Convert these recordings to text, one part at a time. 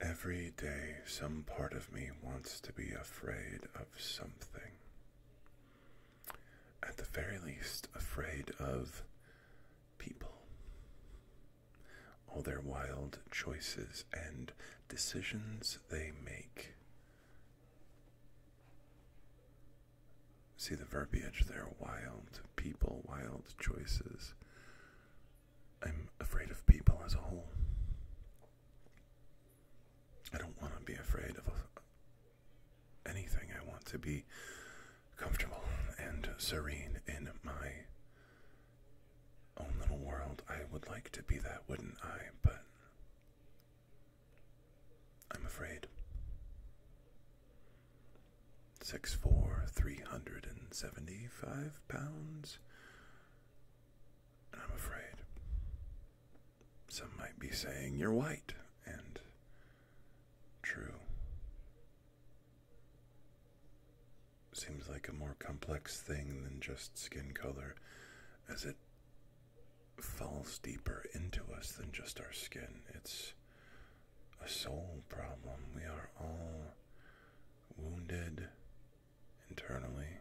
Every day, some part of me wants to be afraid of something. At the very least, afraid of people. All their wild choices and decisions they make. See the verbiage there wild people, wild choices. I'm afraid of people as a whole. I don't want to be afraid of anything. I want to be comfortable and serene in my own little world. I would like to be that, wouldn't I? But I'm afraid. Six four, three hundred and seventy five pounds. I'm afraid. Some might be saying you're white, and true. Seems like a more complex thing than just skin color, as it falls deeper into us than just our skin. It's a soul problem. We are all wounded internally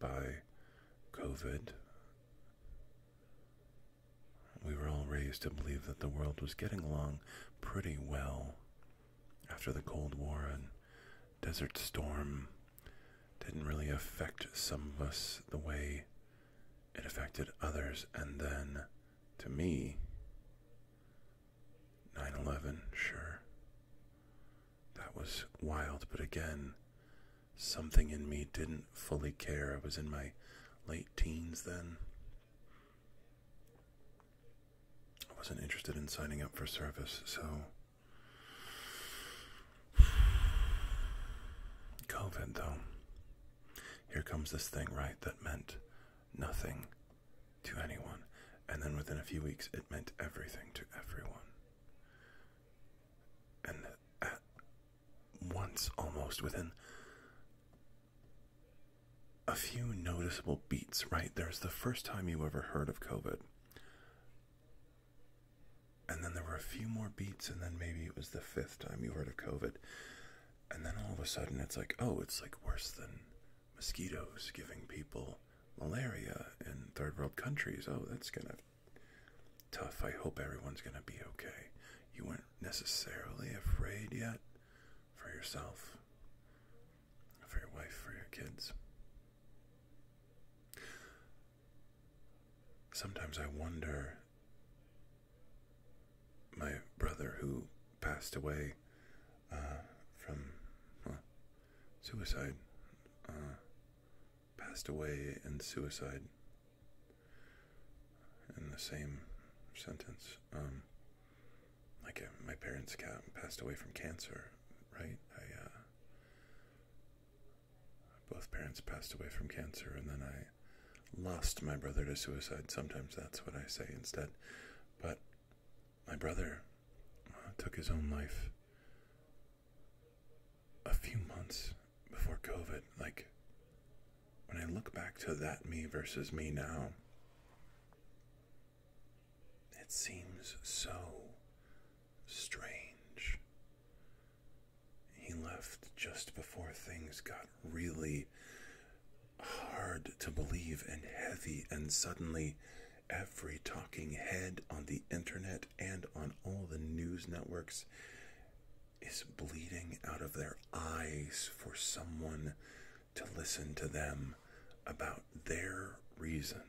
by COVID. We were all raised to believe that the world was getting along pretty well after the Cold War and Desert Storm didn't really affect some of us the way it affected others. And then, to me, 9 11, sure. That was wild. But again, something in me didn't fully care. I was in my late teens then. I wasn't interested in signing up for service, so COVID, though. Here comes this thing, right, that meant nothing to anyone. And then within a few weeks, it meant everything to everyone. And at once, almost within a few noticeable beats, right? There's the first time you ever heard of COVID. And then there were a few more beats, and then maybe it was the fifth time you heard of COVID. And then all of a sudden it's like, oh, it's like worse than mosquitoes giving people malaria in third world countries. Oh, that's gonna tough. I hope everyone's going to be okay. You weren't necessarily afraid yet for yourself, for your wife, for your kids. Sometimes I wonder. My brother, who passed away uh, from suicide, uh, passed away in suicide in the same sentence. Um, like uh, my parents passed away from cancer, right? Both parents passed away from cancer, and then I lost my brother to suicide. Sometimes that's what I say instead. But my brother uh, took his own life a few months before COVID. Like, when I look back to that me versus me now, it seems so strange. He left just before things got really hard to believe and heavy, and suddenly every talking head on the internet and on all the news networks is bleeding out of their eyes for someone to listen to them about their reason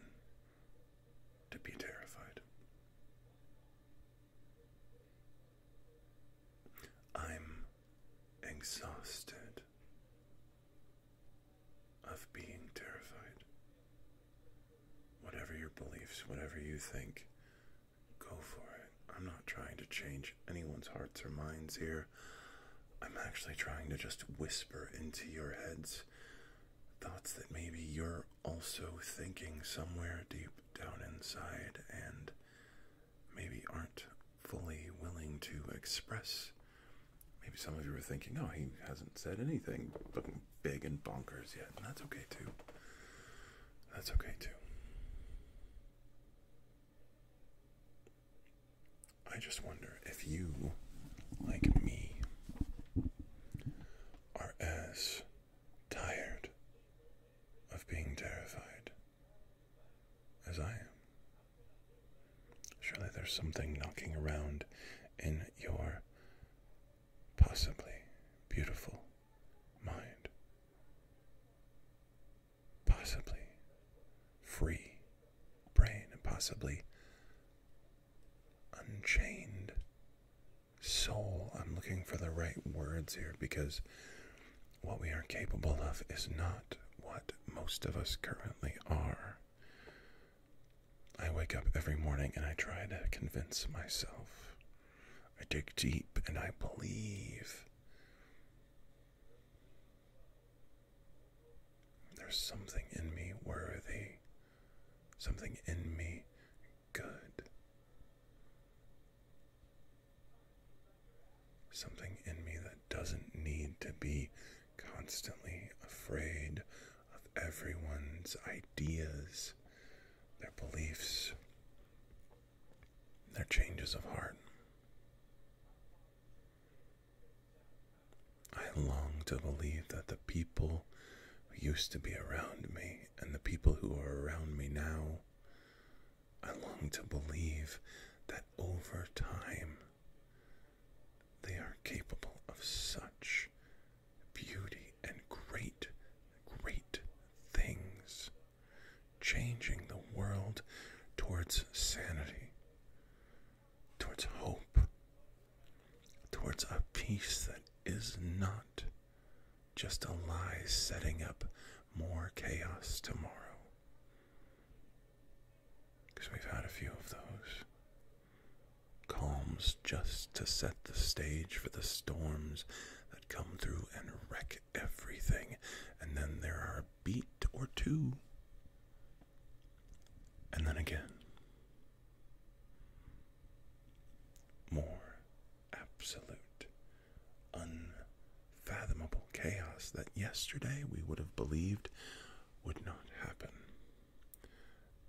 to be terrified. I'm exhausted of being terrified. Whatever your beliefs, whatever you think, go for it. I'm not trying to change anyone's hearts or minds here. I'm actually trying to just whisper into your heads thoughts that maybe you're also thinking somewhere deep down inside and maybe aren't fully willing to express. Maybe some of you are thinking, oh, he hasn't said anything big and bonkers yet. that's okay too. That's okay too. I just wonder if you, like me, are as tired of being terrified as I am. Surely there's something knocking around in your possibly beautiful mind, possibly free brain, and possibly unchained soul. I'm looking for the right words here because what we are capable of is not what most of us currently are. I wake up every morning and I try to convince myself. I dig deep and I believe. There's something in me worthy, something in me good. Something in me that doesn't need to be constantly afraid of everyone's ideas, their beliefs, their changes of heart. I long to believe that the people who used to be around me and the people who are around me now. I long to believe that over time they are capable of such beauty and great, great things, changing the world towards sanity, towards hope, towards a peace that is not just a lie setting up more chaos tomorrow. Because we've had a few of those. Calms just to set the stage for the storms that come through and wreck everything, and then there are a beat or two. And then again, more absolute, unfathomable chaos that yesterday we would have believed would not happen.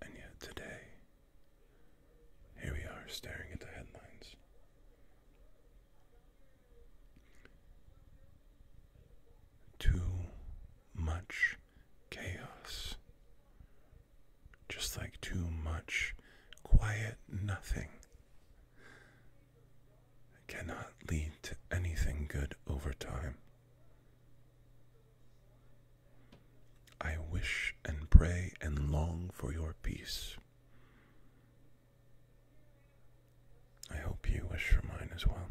And yet today, here we are staring at the headlines. Too much chaos just like too much quiet nothing. cannot lead to anything good over time. I wish and pray and long for your peace. I hope you wish for mine as well.